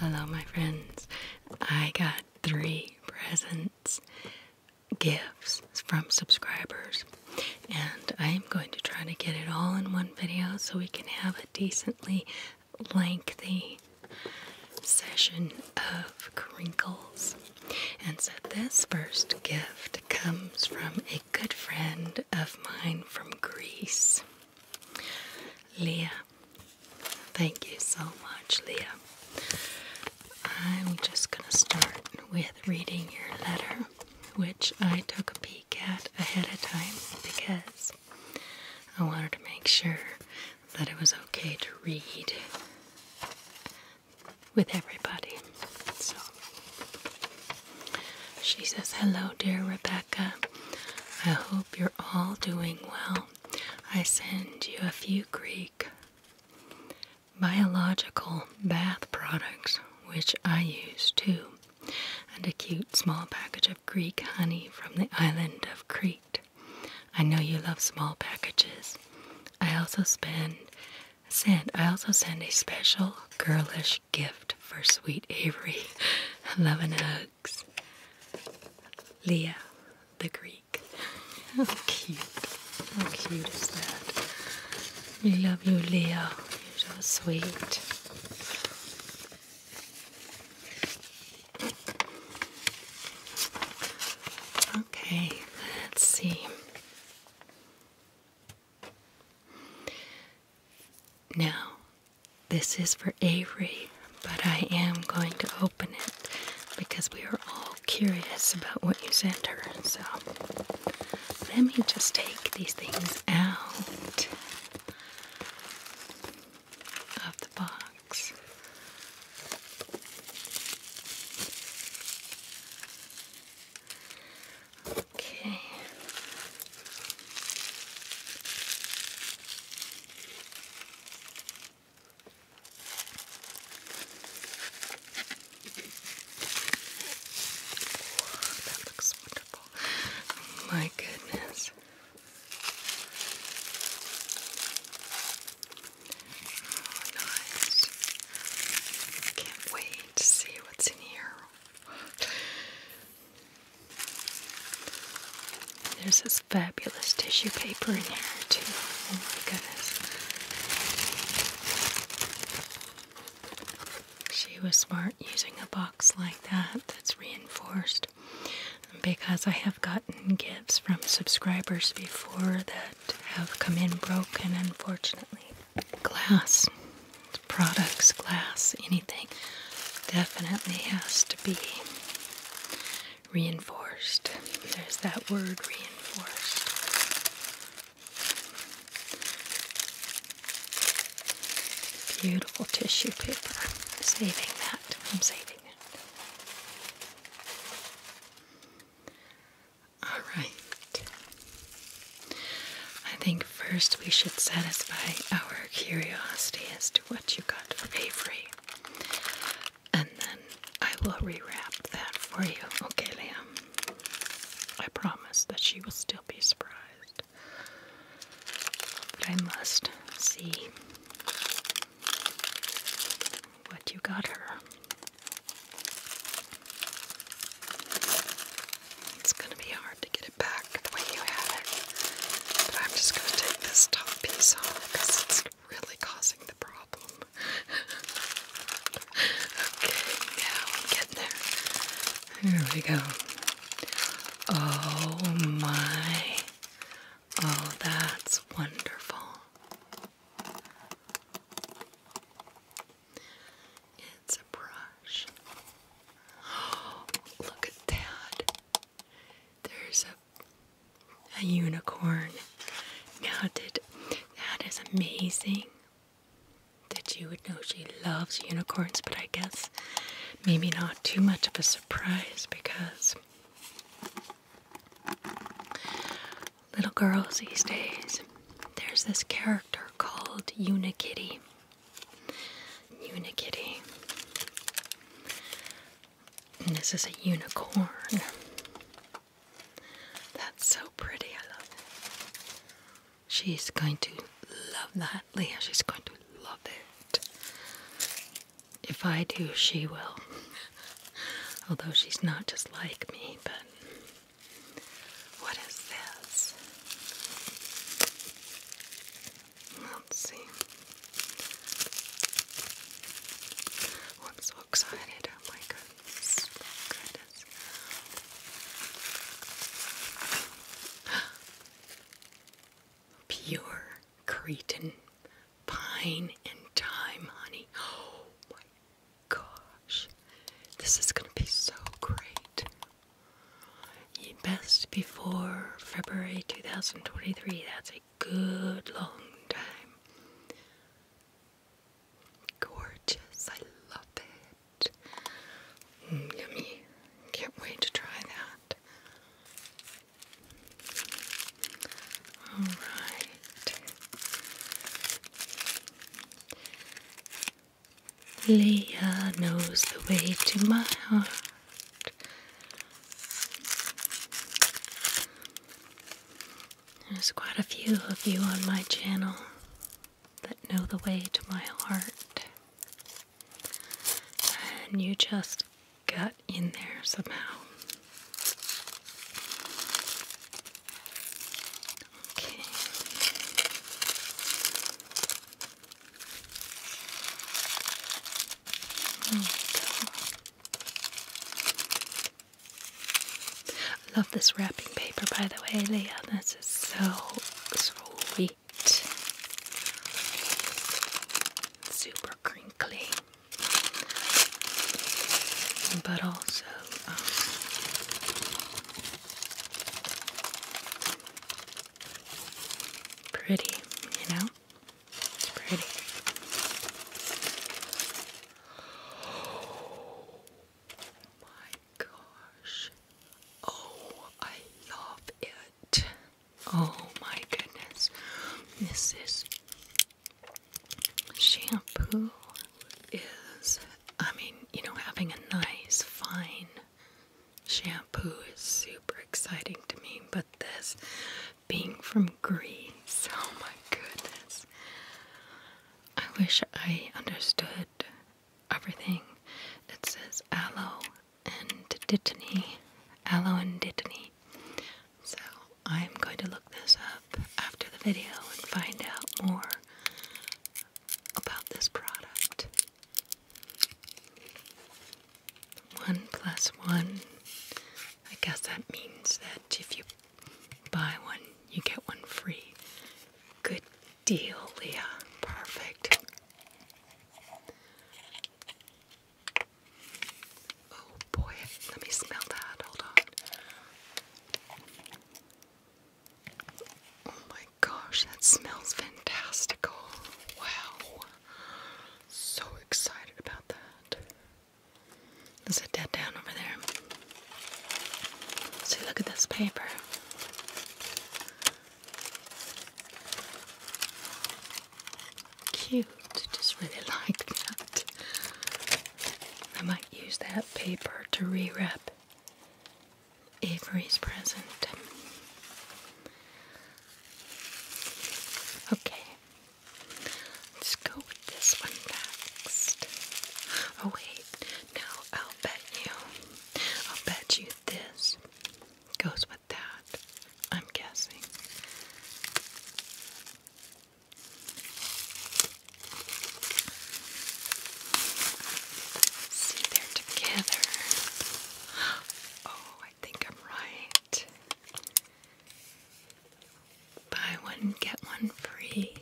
Hello, my friends. I got three presents, gifts from subscribers, and I am going to try to get it all in one video so we can have a decently lengthy session of crinkles. And so this first gift comes from a good friend of mine from Greece, Leah. Thank you so much, Leah. I'm just going to start with reading your letter, which I took a peek at ahead of time because I wanted to make sure that it was okay to read with everybody. So she says, Hello, dear Rebecca. I hope you're all doing well. I send you a few Greek biological bath products, which I use too, and a cute small package of Greek honey from the island of Crete. I know you love small packages. I also send I also send a special girlish gift for sweet Avery. Love and hugs. Leah the Greek. How cute. How cute is that? We love you, Leah. You're so sweet. Okay, let's see. Now, this is for Avery, but I am going to open it because we are all curious about what you sent her. So, let me just take these things out of the box. Okay. that looks wonderful. My goodness. Oh, nice. Can't wait to see what's in here. There's this fabulous tissue paper in here, too. Oh my goodness. She was smart using a box like that that's reinforced because I have gotten gifts from subscribers before that have come in broken, unfortunately. Glass, products, glass, anything definitely has to be reinforced. There's that word reinforced. Beautiful tissue paper. Saving that. I'm saving it. All right. I think first we should satisfy our curiosity as to what you got for Avery. And then I will rewrap that for you. Okay, Liam. I promise that she will still be surprised. But I must see what you got her. It's gonna be hard to get it back the way you had it. But I'm just gonna take this top piece off because it's really causing the problem. okay, now I'm getting there. Here we go. Oh my Oh, that's wonderful. It's a brush. Oh, look at that. There's a a unicorn. Now did that is amazing that you would know she loves unicorns, but I guess maybe not too much of a surprise because Little girls these days, there's this character called Unikitty. Unikitty. And this is a unicorn. That's so pretty, I love it. She's going to love that, Leah. She's going to love it. If I do, she will. Although she's not just like me, but. What is this? Let's see. i so excited. Oh my goodness. goodness. Pure Cretan Pine and thyme, honey. Oh my gosh. This is going to be so great. Best before February 2023. That's a good long time. Gorgeous. I love it. Mm, yummy. Can't wait to try that. All right. Leah knows the way to my heart. There's quite a few of you on my channel that know the way to my heart. And you just got in there somehow. Okay. love this wrapping paper, by the way, Leah. This is so sweet. Super crinkly but also um, pretty, you know? It's pretty. Oh my gosh. Oh, I love it. Oh my goodness. This is Shampoo is, I mean, you know, having a nice, fine shampoo is super exciting to me, but this being from Greece, oh my goodness. I wish I understood everything. that says aloe and dittany, aloe and dittany. So I'm going to look this up after the video and find out more about this product. One plus one. I guess that means that if you buy one, you get one free. Good deal, Leah. Perfect. Oh boy, let me smell that. Hold on. Oh my gosh, that smells fantastical. Wow. So excited about that. Let's down over there. See, look at this paper. Cute. Just really like that. I might use that paper to rewrap Avery's present. Okay. Let's go with this one next. Oh wait, no, I'll bet you. I'll bet you this goes with that. I'm guessing. See, they're together. Oh, I think I'm right. Buy one, get one free.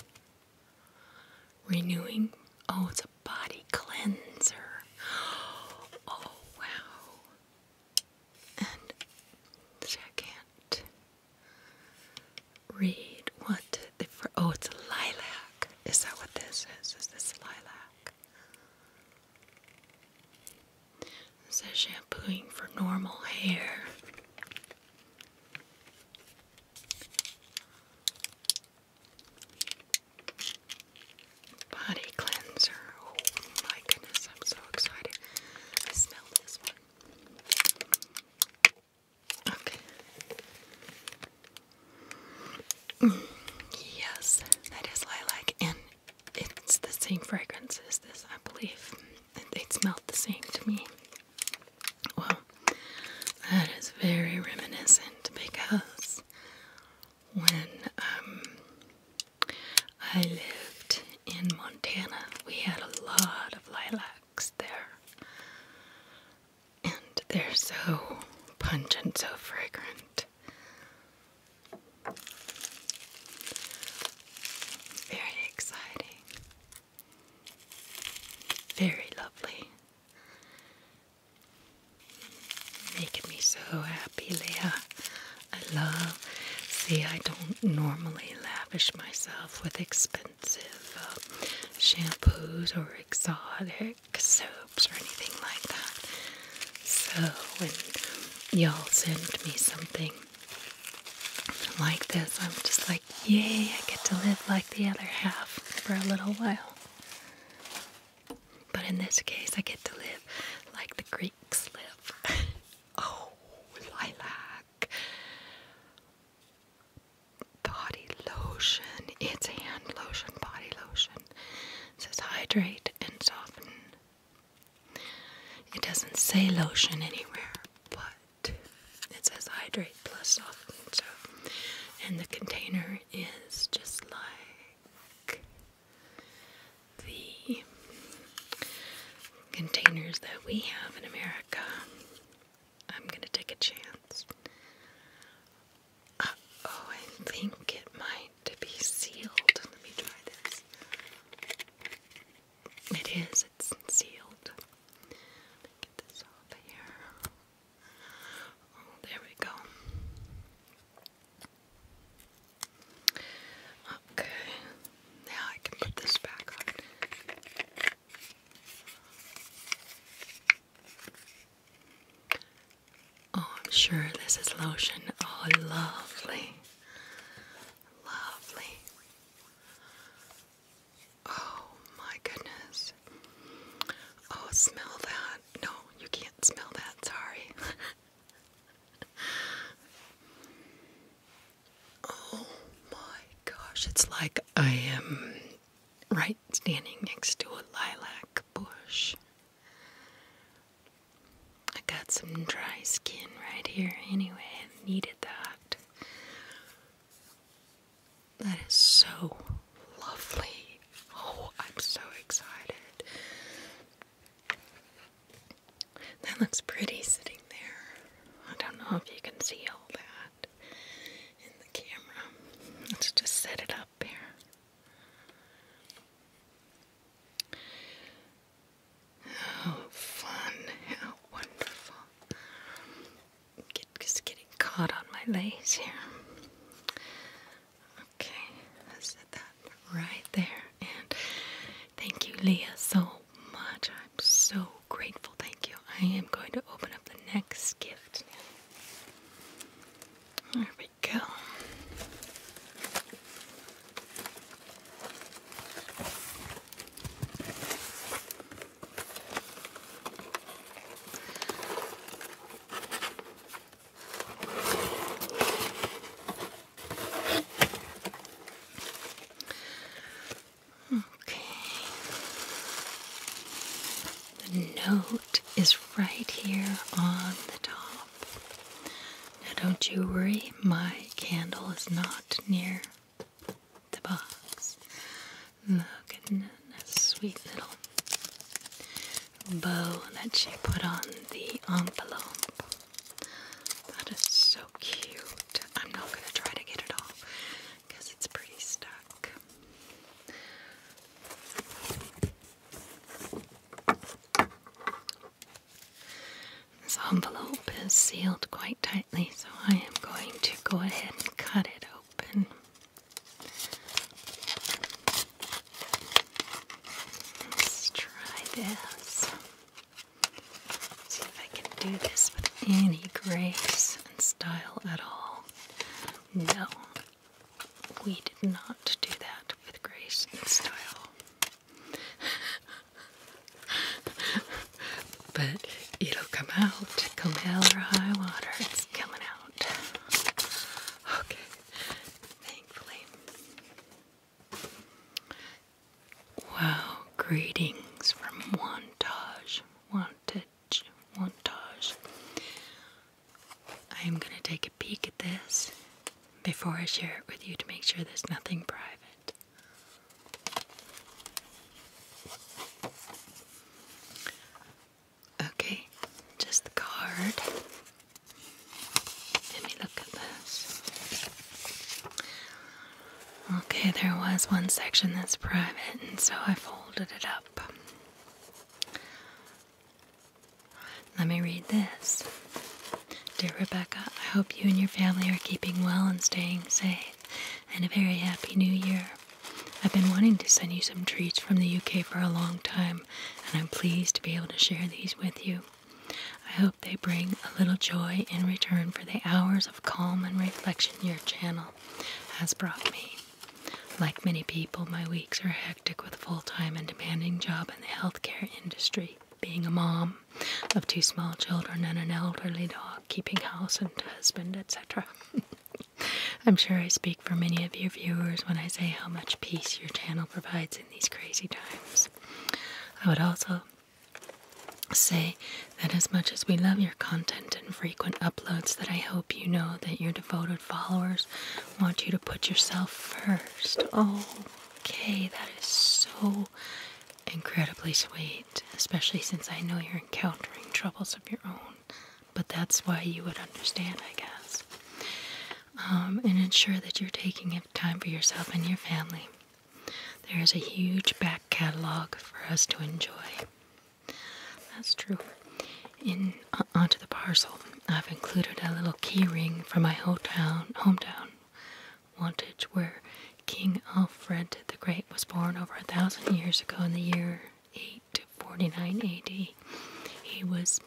Renewing. Oh, it's a body cleanser. Oh, wow and I can't read what the for oh it's a lilac. Is that what this is? Is this lilac? It says shampooing for normal hair. Body cleanser. Oh my goodness, I'm so excited. I smell smell Okay. yes, that is lilac, and it's the same fragrance as this, I believe. It, smelled the same to me. Well, that is very reminiscent because when um, I lived in Montana. We had a lot of lilacs there. And they're so pungent, so fragrant. Very exciting. Very lovely. Making me so happy, Leah. I love. See, I don't normally lavish myself with expensive uh, shampoos or exotic soaps or anything like that. So, when y'all send me something like this, I'm just like, yay, I get to live like the other half for a little while. But in this case, I get to live like the Greeks live. Oh, lilac. Body lotion. It's hand lotion, body lotion. It says hydrate and soften. It doesn't say lotion anywhere, but it says hydrate plus soften. So, and the container is just like the containers that we have in America, I'm going to take a chance. Uh, oh, I think it might be sealed. Let me try this. It is, it's sealed. get this off here. Oh, there we go. Okay, now I can put this back Oh, I'm sure this is lotion. Oh, lovely. Lovely. Oh my goodness. Oh, smell that. No, you can't smell that. Sorry. oh my gosh, it's like I am right standing next to a lilac bush. I got some dry skin right here anyway, I needed that. That is so lovely. Oh, I'm so excited. That looks pretty sitting there. I don't know if you can see all that in the camera. Let's just set it up here. How oh, fun, how wonderful. just getting caught on my lace here. Okay, I set that right there. And thank you, Leah, so much. I'm so grateful. Thank you. I am going to open up the next gift There we go. Okay. The note is right here on the top. Now, don't you worry, my candle is not near the box. Look at that sweet little bow that she put on the envelope. That is so cute. I'm not going to try to get it off because it's pretty stuck. This envelope is sealed quite tightly, so I am going to go ahead and cut it open. Let's try this. See if I can do this with any grace and style at all. No, we did not do that with grace and style. but it'll come out, come hell or high water. It's coming out. Okay, thankfully. Wow, greetings from Wantage. Wantage, Wantage. I am going to take a peek at this before I share it with you to make sure there's nothing private. Okay, just the card. Let me look at this. Okay, there was one section that's private, and so I folded it up. Let me read this. Dear Rebecca, I hope you and your family are keeping well and staying safe, and a very happy new year. I've been wanting to send you some treats from the UK for a long time, and I'm pleased to be able to share these with you. I hope they bring a little joy in return for the hours of calm and reflection your channel has brought me. Like many people, my weeks are hectic with a full time and demanding job in the healthcare industry. Being a mom of two small children and an elderly dog, keeping house and husband, etc. I'm sure I speak for many of your viewers when I say how much peace your channel provides in these crazy times. I would also Say that as much as we love your content and frequent uploads, that I hope you know that your devoted followers want you to put yourself first. Oh, okay, that is so incredibly sweet, especially since I know you're encountering troubles of your own. But that's why you would understand, I guess. Um, and ensure that you're taking time for yourself and your family. There is a huge back catalog for us to enjoy. That's true. In uh, onto the parcel, I've included a little keyring for my hometown, hometown, Wantage, where King Alfred the Great was born over a thousand years ago in the year 849 A.D. He was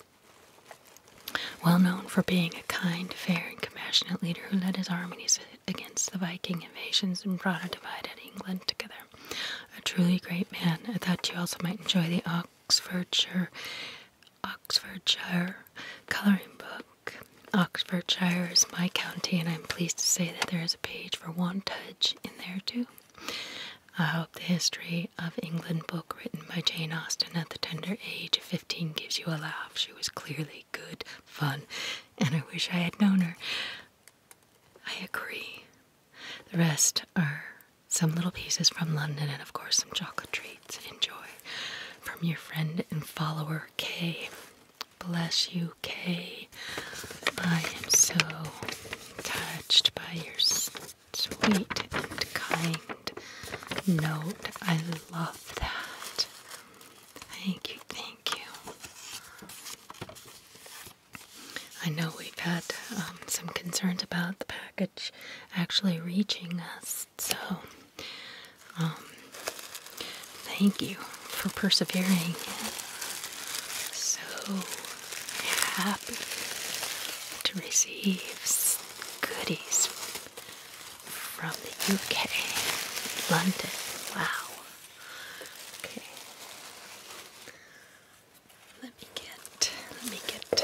well known for being a kind, fair, and compassionate leader who led his armies against the Viking invasions and brought a divided England together. A truly great man. I thought you also might enjoy the Oxfordshire Oxfordshire coloring book. Oxfordshire is my county, and I'm pleased to say that there is a page for Wantage in there too. I hope the History of England book written by Jane Austen at the tender age of 15 gives you a laugh. She was clearly good fun, and I wish I had known her. I agree. The rest are some little pieces from London, and of course, some chocolate treats. Enjoy from your friend and follower Kay. Bless you, Kay. I am so touched by your sweet and kind note. I love that. Thank you, thank you. I know we've had um, some concerns about the package actually reaching us, so um, thank you for persevering. So happy to receive goodies from the UK, London. Wow. Okay. Let me get. Let me get.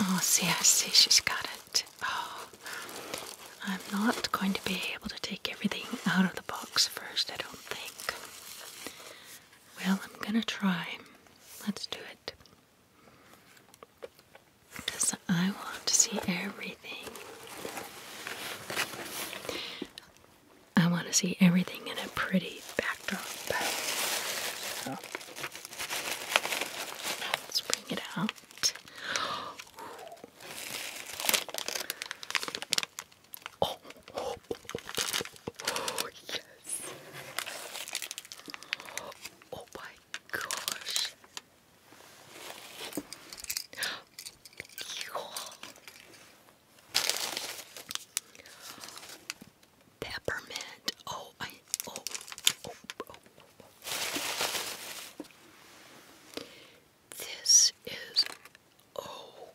Oh, see, I see. She's got it. Oh, I'm not going to be able to take everything out of the box first. I don't think. Well, I'm gonna try. Let's do it. Because I want to see everything. I want to see everything in a pretty backdrop. let's bring it out. Oh, yes. Oh my gosh. Peppermint. Oh, I. Oh oh, oh, oh, oh. This is. Oh.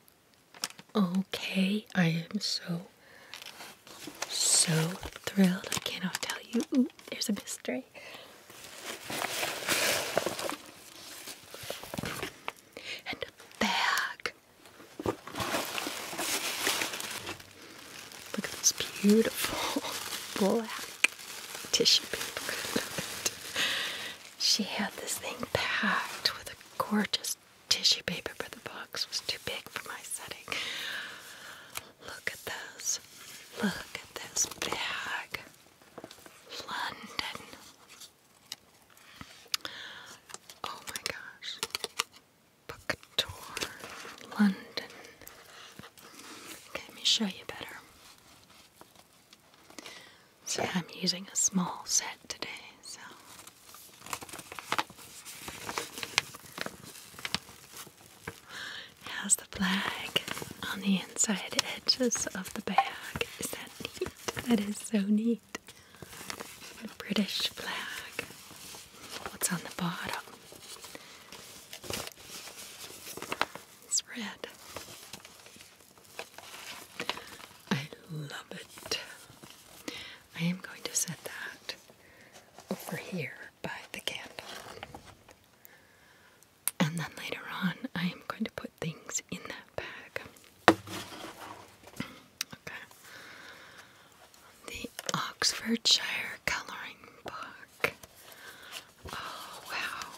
Okay. I am so, so thrilled. I cannot tell you. there's a mystery. And a bag. Look at this beautiful black tissue paper. she had this thing packed with a gorgeous tissue paper, but the box was too big for my setting. Look at this. Look at this bag. London. Oh my gosh. Book tour. London. let me show you better. See, I'm using a small set today, so has the flag on the inside edges of the bag. Is that neat? That is so neat. The British flag. What's on the bottom? It's red. I love it. I am going to set that over here by the candle. And then later on, I am going to put things in that bag. Okay. The Oxfordshire Coloring Book. Oh, wow.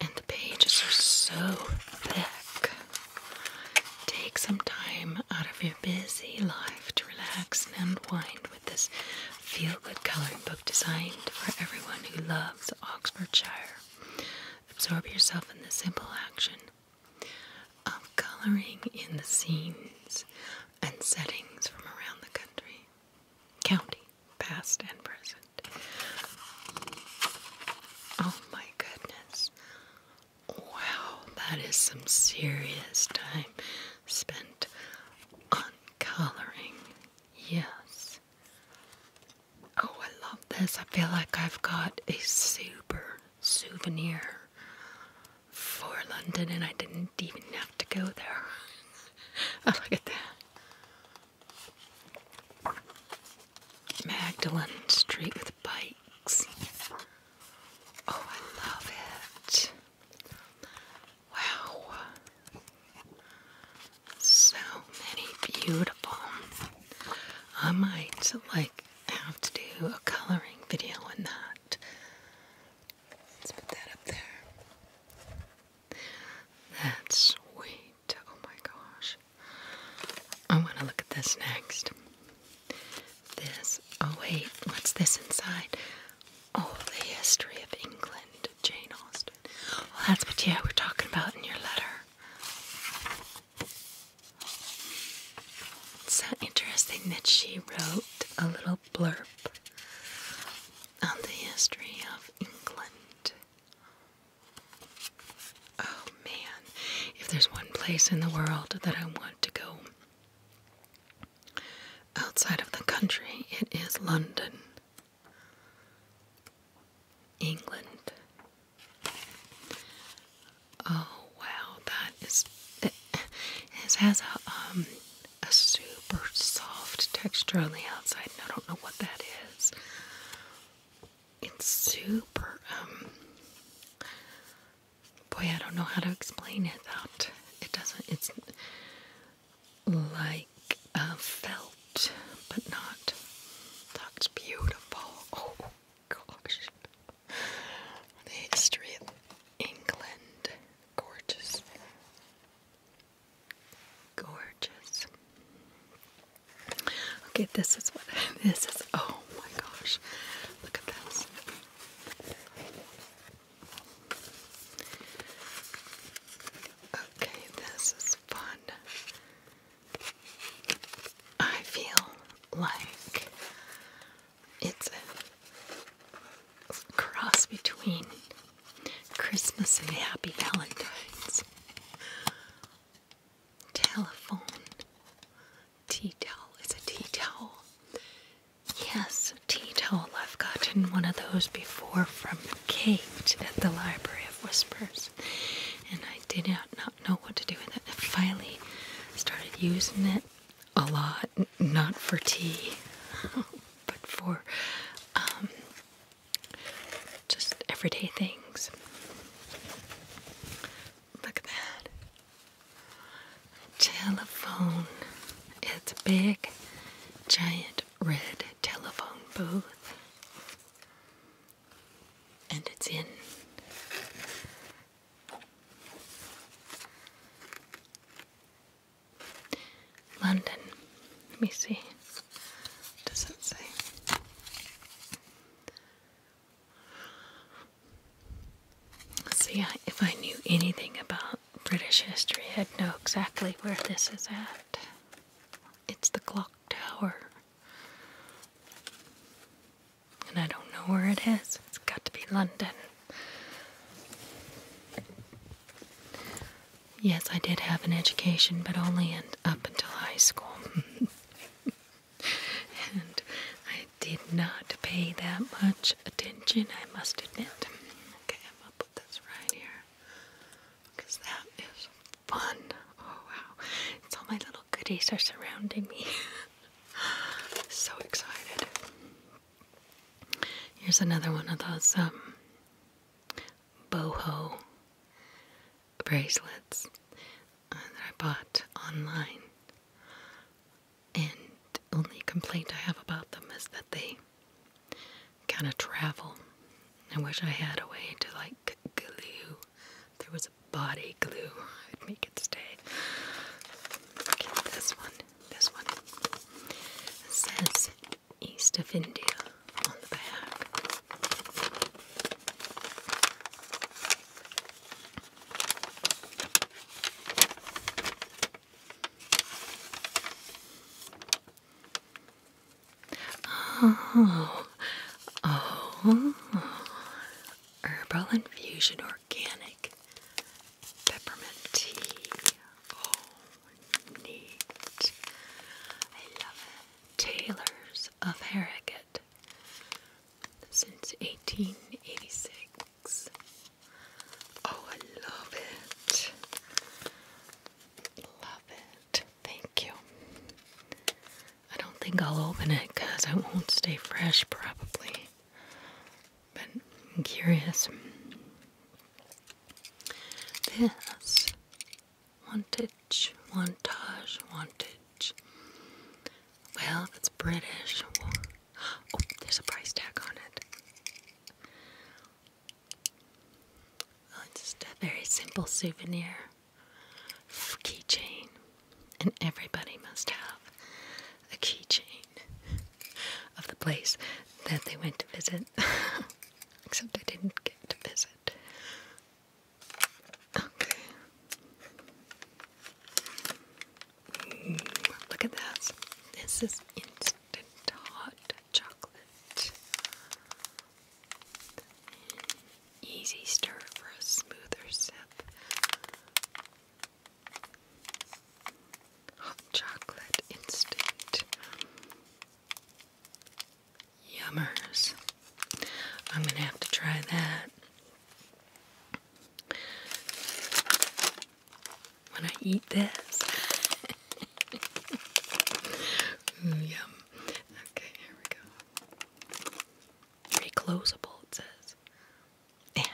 And the pages are so thick. Take some time out of your busy life to relax and unwind with this feel good coloring book designed for everyone who loves Oxfordshire. Absorb yourself in the simple action of coloring in the scenes and settings from around the country, county, past, and present. Oh my goodness. Wow, that is some serious time spent on coloring. Yes. Oh, I love this. I feel like I've got a super souvenir for London and I didn't even have to go there. Oh, look at that. Magdalene Street with bikes. Oh, I love it. Wow. So many beautiful. I might like have to do a coloring video on that. Let's put that up there. That's sweet. Oh my gosh. I want to look at this next. This. Oh, wait. What's this inside? Oh, the history of England. Jane Austen. Well, that's what, yeah, we're talking about in your letter. It's so interesting that she wrote a little blurb on the history of England. Oh man, if there's one place in the world that I want to go outside of the country, it is London, England. Oh wow, that is it, it has a um a super soft texture on the outside, and I don't know what that is it's super um, boy I don't know how to explain it that it doesn't it's like a uh, felt but not that's beautiful oh gosh the history of England gorgeous gorgeous Okay, this is what this is. Oh my gosh. Look at this. Okay, this is fun. I feel like it's a cross between Christmas and Happy Valentine's. Telephone. Tea towel. It's a tea towel. Yes, tea towel. I've gotten one of those before from Kate at the Library of Whispers, and I did not, know what to do with it. I finally started using it a lot, not for tea, but for um, just everyday things. Look at that. Telephone. It's big, giant red telephone booth. And it's in London. Let me see. does it say? See, if I knew anything about British history, I'd know exactly where this is at. It's the clock tower. And I don't know where it is. It's got to be London. Yes, I did have an education, but only up until high school. and I did not pay that much attention, I must admit. Okay, I'm gonna put this right here because that is fun. Oh wow, all my little goodies are surrounding me. so excited. Here's another one of those um, boho bracelets uh, that I bought online. And only complaint I have about them is that they kind of travel. I wish I had a way to like glue. there was a body glue, I'd make it stay. this one. This one says East of India on the back. Oh, oh, herbal infusion organic peppermint tea. Oh, neat. I love it. Taylor's of Harrogate since 1886. Oh, I love it. Love it. Thank you. I don't think I'll open it because I won't stay fresh, probably. But I'm curious. This wanted wantage, wantage, Well, if it's British. Oh, there's a price tag on it. Well, oh, it's just a very simple souvenir keychain, and everybody must have a keychain of the place that they went to visit. Except I didn't get to visit. Okay. look at that. This is instant hot chocolate. Easy stir for a smoother sip. Hot chocolate instant. Yummers. I'm going to have to try that. When I eat this. Mm, yum. Okay, here we go. Reclosable, it says. Yeah.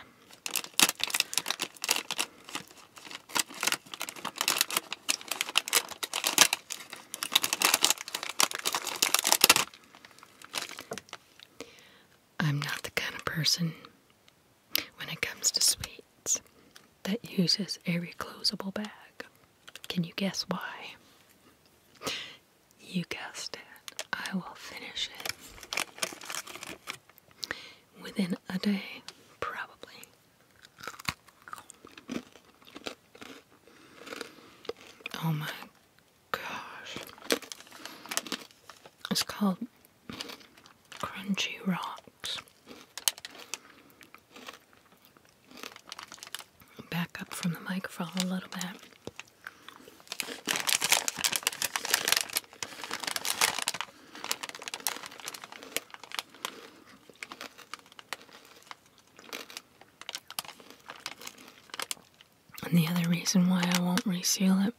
I'm not the kind of person when it comes to sweets that uses a reclosable bag. Can you guess why? You guessed it. I will finish it within a day, probably. Oh my gosh. It's called Crunchy Rocks. Back up from the microphone a little bit. And the other reason why I won't reseal it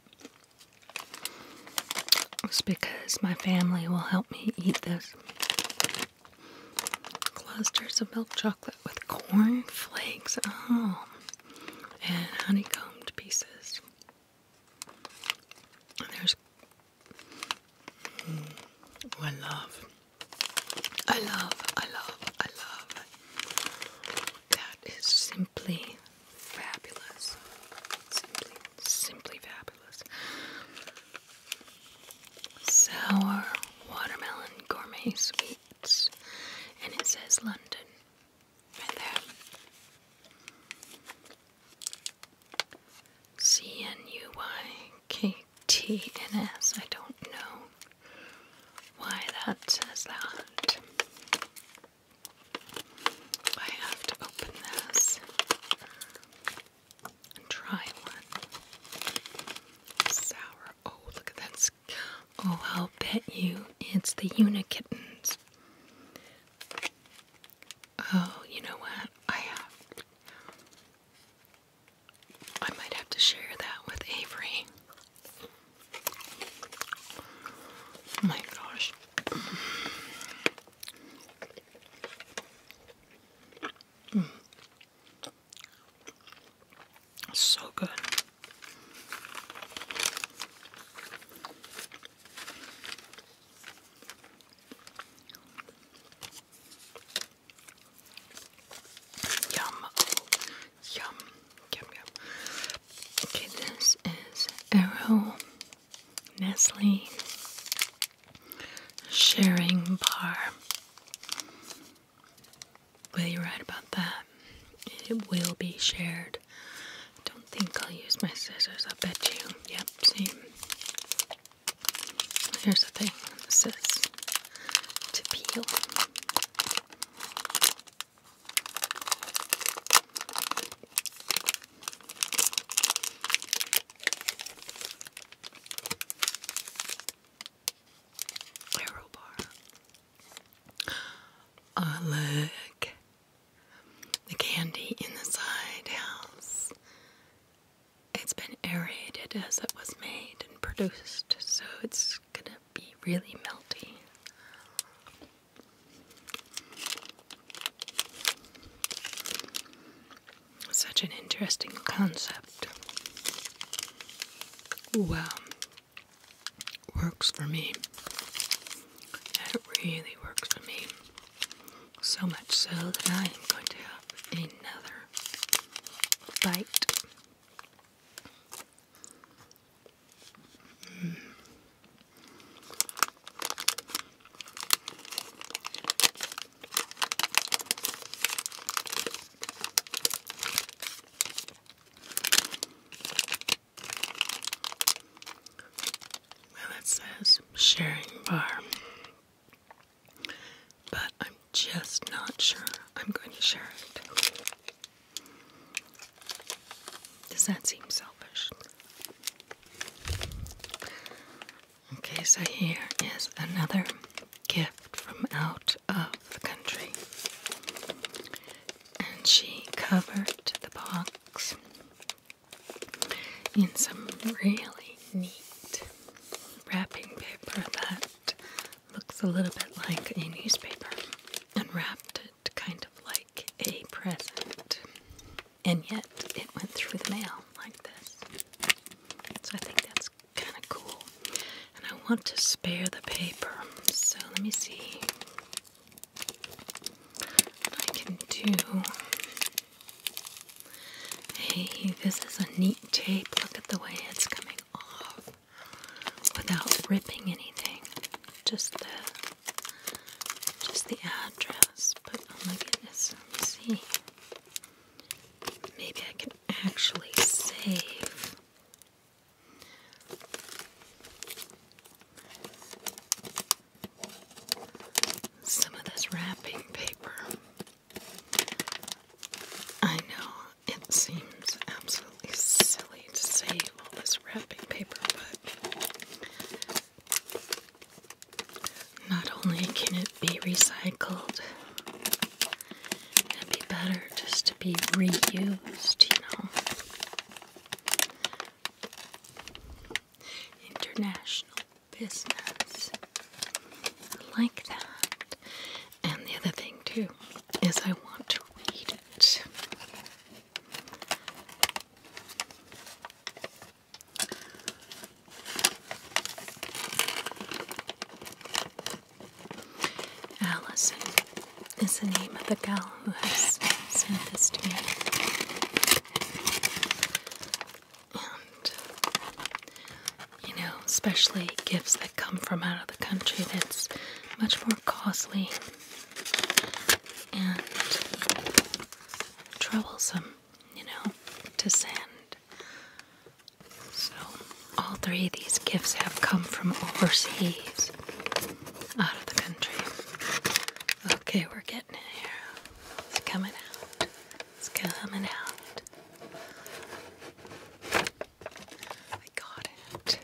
is because my family will help me eat this. Clusters of milk chocolate with corn flakes. Oh, and honeycombed pieces. There's. oh, I love I love, I love, I love. That is simply fabulous. Simply, simply fabulous. Sour watermelon gourmet sweets. And it says London. Right there. C N U Y K T N S. I don't know why that says that. I have to open this and try one. Sour. Oh, look at that. Oh, I'll bet you it's the Unikittens. Oh, you know what? I have. I might have to share that with Avery. Oh my gosh. Mm. So good. Yum. yum. Yum, yum. Okay, this is Arrow Nestle Sharing Bar. Will you write about that? It will be shared. I don't think I'll use my scissors, I'll bet you. Yep, see? Here's the thing this is to peel. Arrow bar. Oh, look. The candy in the side house. It's been aerated as it was made and produced, so it's gonna be really melty. Such an interesting concept. Well, works for me. It really works for me. So much so that I am going to have another bite well, it says sharing bar, but I'm just not sure I'm going to share it. Does that seem selfish? Okay, so here is another gift from out of the country. And she covered the box in some really neat wrapping paper that Looks a little bit like a newspaper, and wrapped it kind of like a present, and yet it went through the mail like this. So I think that's kind of cool. And I want to spare the paper, so let me see what I can do. Hey, this is a neat tape. Look at the way it's coming off without ripping anything. Just the just the address. But oh my goodness, see. Maybe I can actually save. Some of this wrapping paper. I know it seems absolutely silly to save all this wrapping paper, but not only can it be recycled, it'd be better just to be reused, you know. International business. like that. And the other thing, too, is I want to read it. Allison is the name of the gal who has sent this to me. And you know, especially gifts that come from out of the country that's much more costly and troublesome, you know, to send. So, all three of these gifts have come from overseas, out of the country. Okay, we're getting it here. It's coming out. It's coming out. I got it.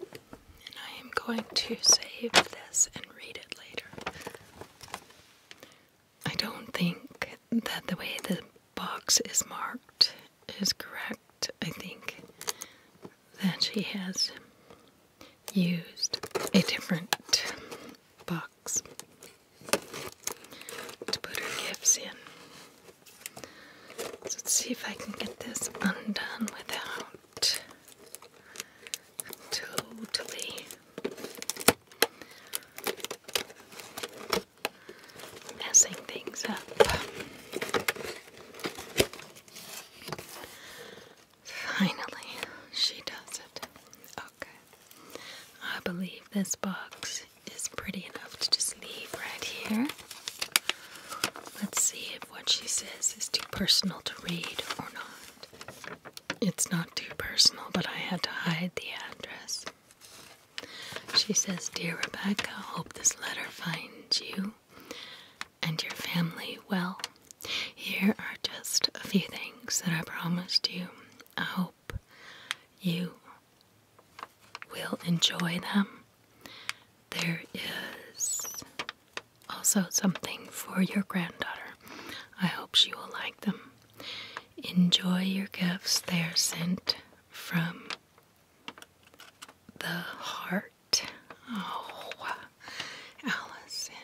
And I am going to save this and read it later. I don't think that the way the box is marked is correct. I think that she has used a different box to put her gifts in let's see if I can get this undone without totally messing things up. Finally, she does it. Okay. I believe this box is pretty enough to just leave right here. Let's see if what she says is too personal to read or not. It's not too personal, but I had to hide the address. She says, Dear Rebecca, I hope this letter finds you and your family well. Here are just a few things that I promised you. I hope you will enjoy them. There is also something for your granddaughter. I hope she will like them. Enjoy your gifts, they are sent from the heart. Oh, Allison.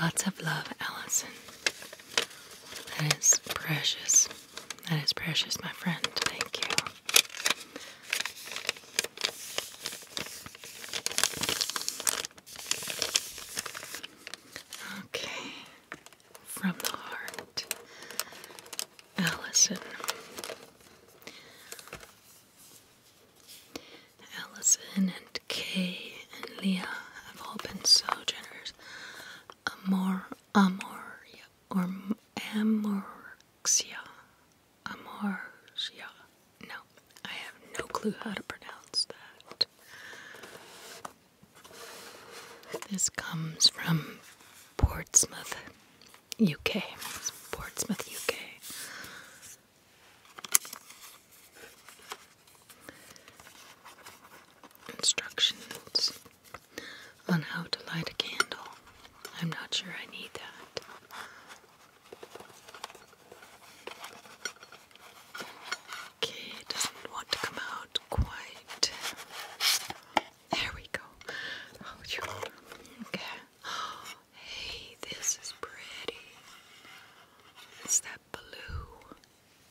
Lots of love, Allison. That is precious. That is precious, my friend. Thank you. Okay. From the heart. Allison. Allison and Kay and Leah have all been so generous amor, amoria, or amorxia, amorxia. No, I have no clue how to pronounce that. This comes from Portsmouth, UK. Portsmouth, UK. Instructions on how to light a candle. I'm not sure I need that. Okay, doesn't want to come out quite. There we go. Oh, you okay? hey, this is pretty. It's that blue.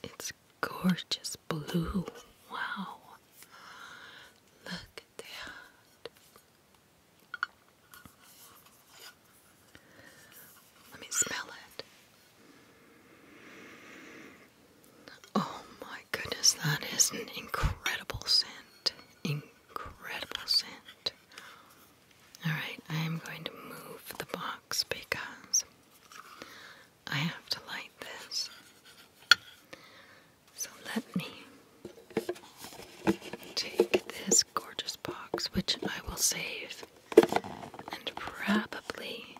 It's gorgeous blue. Wow. Look at that. Let me smell it. Oh my goodness, that is an incredible scent. Incredible scent. Alright, I am going to move the box because I have to light this. So let me take this gorgeous box, which I will save and probably,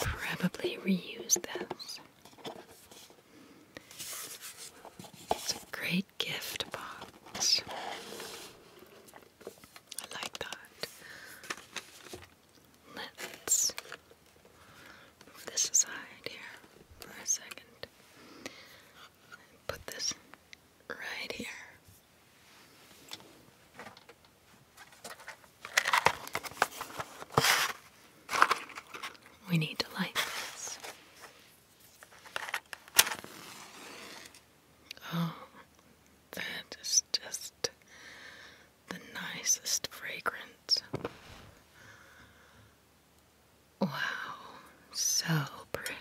probably reuse this. It's a great gift box. I like that. Let's move this aside here for a second. Put this right here. We need to light this. Oh, that is just the nicest fragrance. Wow, so pretty.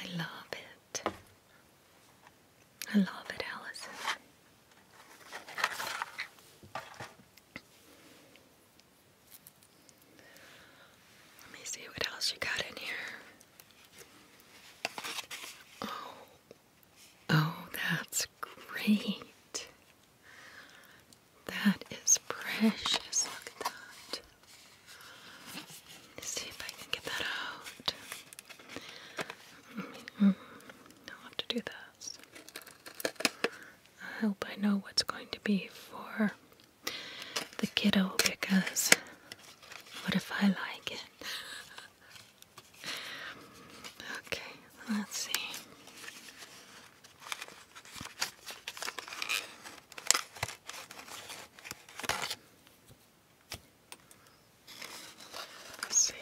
I love it. I love it, Allison. Let me see what else you got in here. Oh, Oh, that's great. That is precious. Look at that. see if I can get that out. I'll hmm, have to do this. I hope I know what's going to be for the kiddo because what if I like it? Okay, let's see. Let's see.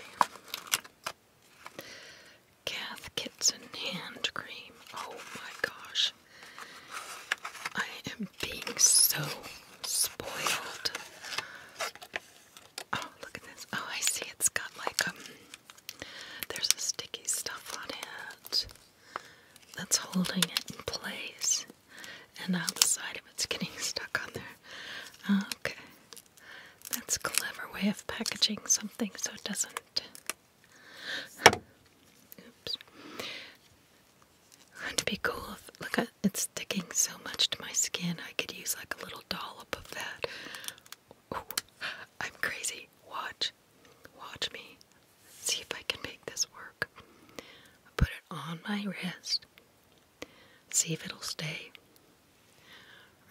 Kath Kitson hand cream. Oh my gosh. I am being so spoiled. Oh, look at this. Oh, I see it's got like um there's a sticky stuff on it that's holding it in place. And now the side of it's getting stuck on there. Okay. That's a clever way of packaging something so it doesn't oops. would be cool if look at it's sticking so much to my skin. I could use like a little dollop of that. I'm crazy. Watch. Watch me. See if I can make this work. I put it on my wrist. See if it'll stay.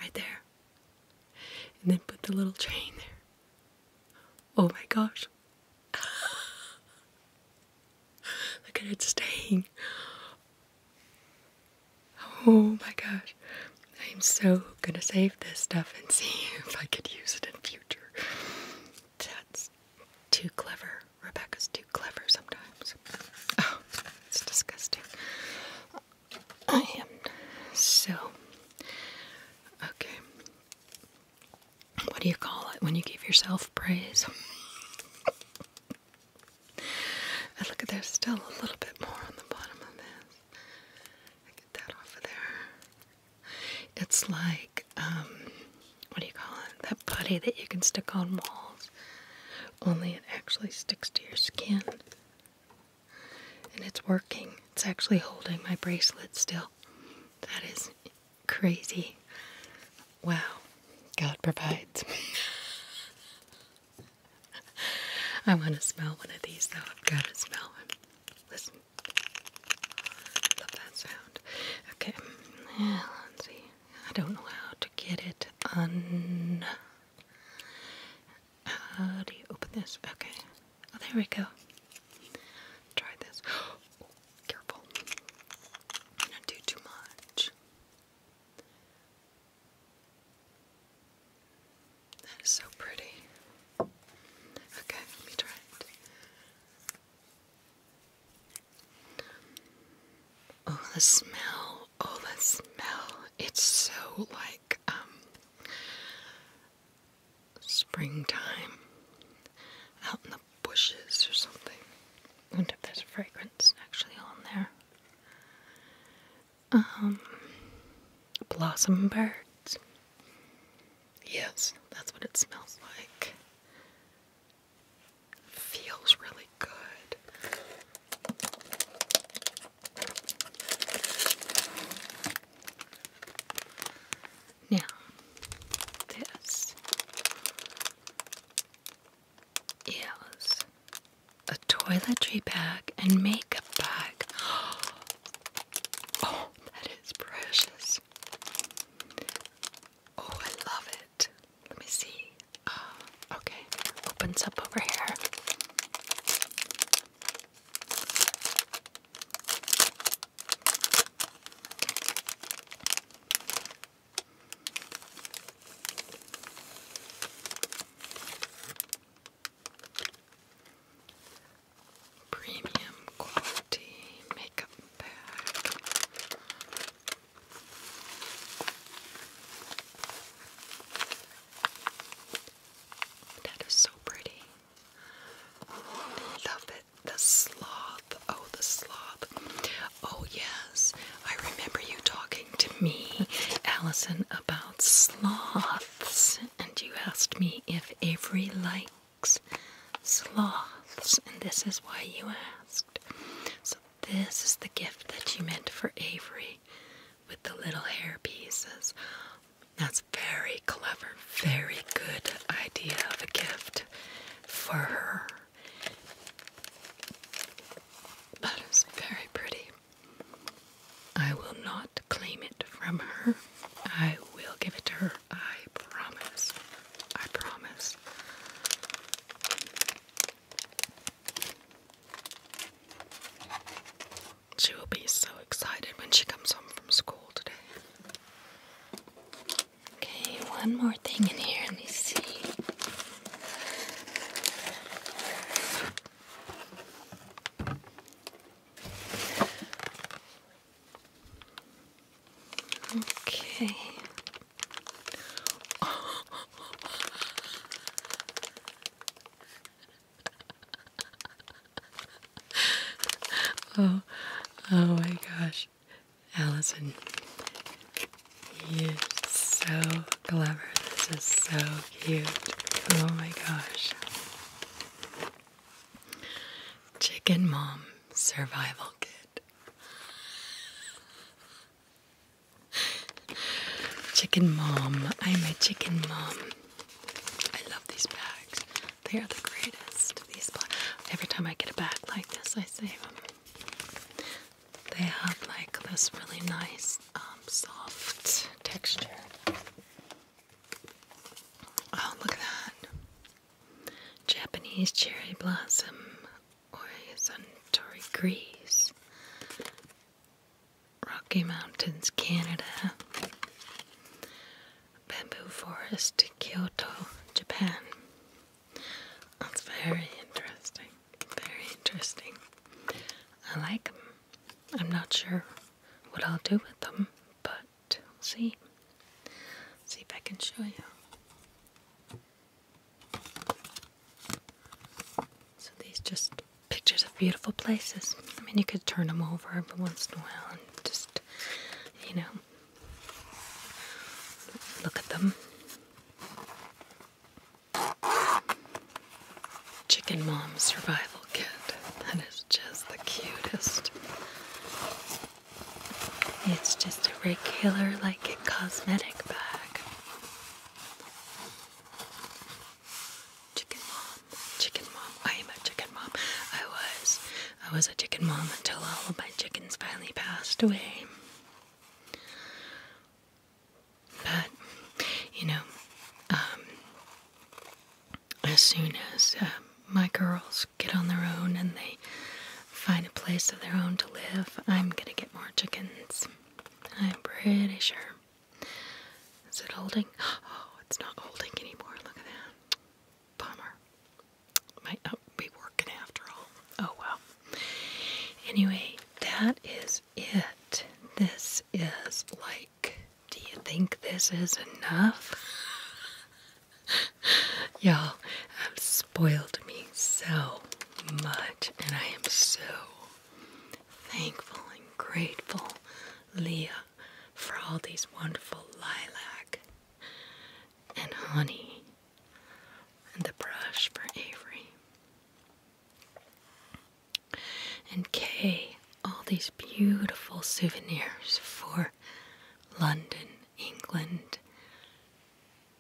Right there. And then put the little train there. Oh my gosh. Look at it staying. Oh my gosh. I am so gonna save this stuff and see if I could use it in future. That's too clever. Rebecca's too clever sometimes. Oh, it's disgusting. I am so okay. What do you call it when you give yourself praise? And look at there's still a little bit more on the bottom of this. I get that off of there. It's like, um, what do you call it? That putty that you can stick on walls. Only it actually sticks to your skin. And it's working. It's actually holding my bracelet still. That is crazy. Wow. God provides. I want to smell one of these, though. I've got to smell one. Listen. I love that sound. Okay. let's see. I don't know how to get it How do you open this? Okay. Oh, there we go. Try this. careful. Don't do too much. That is so pretty. Okay, let me try it. Oh, the smell. Oh, the smell. It's so like, um, springtime out in the bushes or something. I wonder if there's fragrance fragrance actually on there. Um, blossom birds. Yes, that's what it smells like. Feels really good. Now, this is a toiletry bag and makeup bag. Oh, that is precious. Oh, I love it. Let me see. Uh, okay, opens up over here. Premium quality makeup bag. That is so pretty. Love it. The sloth. Oh, the sloth. Oh, yes, I remember you talking to me, Allison, about sloths, and you asked me if Avery likes sloths, and this is why you asked. So, this is the gift that you meant for Avery with the little hair pieces. That's very clever, very good idea of a gift for her. That is very pretty. I will not claim it from her. I will give it to her. I promise. I promise. She will be so excited when she comes home from school today. Okay, one more thing in here. Let me see. Okay. oh, oh my gosh, Allison, you're so clever. This is so cute. Oh my gosh. Chicken Mom Survival Kit. Chicken Mom. I'm a chicken mom. I love these bags. They are the greatest. These bags. Every time I get a bag like this, I save them they have like this really nice um, soft texture. Oh, look at that. Japanese cherry blossom or Suntory Grease. Rocky Mountains, Canada. Bamboo Forest, Kyoto, Japan. That's very interesting. Very interesting. I like them. I'm not sure what I'll do with them, but we'll see. See if I can show you. So these just pictures of beautiful places. I mean, you could turn them over every once in a while and just, you know, look at them. Chicken Mom Survival Kit. That is just the cutest. It's just a regular, like a cosmetic bag. Chicken Mom. Chicken Mom. I am a chicken mom. I was. I was a chicken mom until all of my chickens finally passed away. But, you know, um, as soon as uh, my girls get on their own and they find a place of their own to live, I'm gonna get more chickens. I'm pretty sure. Is it holding? Oh, it's not holding anymore. Look at that. Bummer. Might be working after all. Oh well. Anyway, that is it. This is like, do you think this is enough? Y'all have spoiled me so much, and I am so thankful and grateful, Leah, for all these wonderful lilac and honey and the brush for Avery. And Kay, all these beautiful souvenirs for London, England.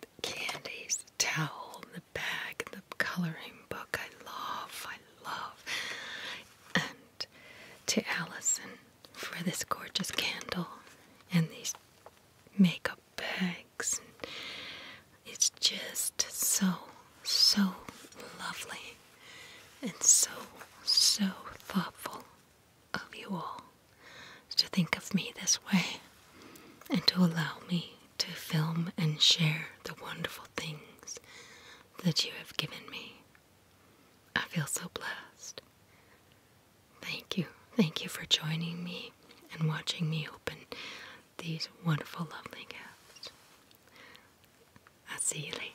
The candies, the towel, the bag, the coloring book I love, I love. And to Allison for this gorgeous candle and these makeup bags. It's just so, so lovely and so, so thoughtful of you all to think of me this way and to allow me to film and share the wonderful things that you have given me. I feel so blessed. Thank you. Thank you for joining me and watching me open these wonderful, lovely gifts. I'll see you later.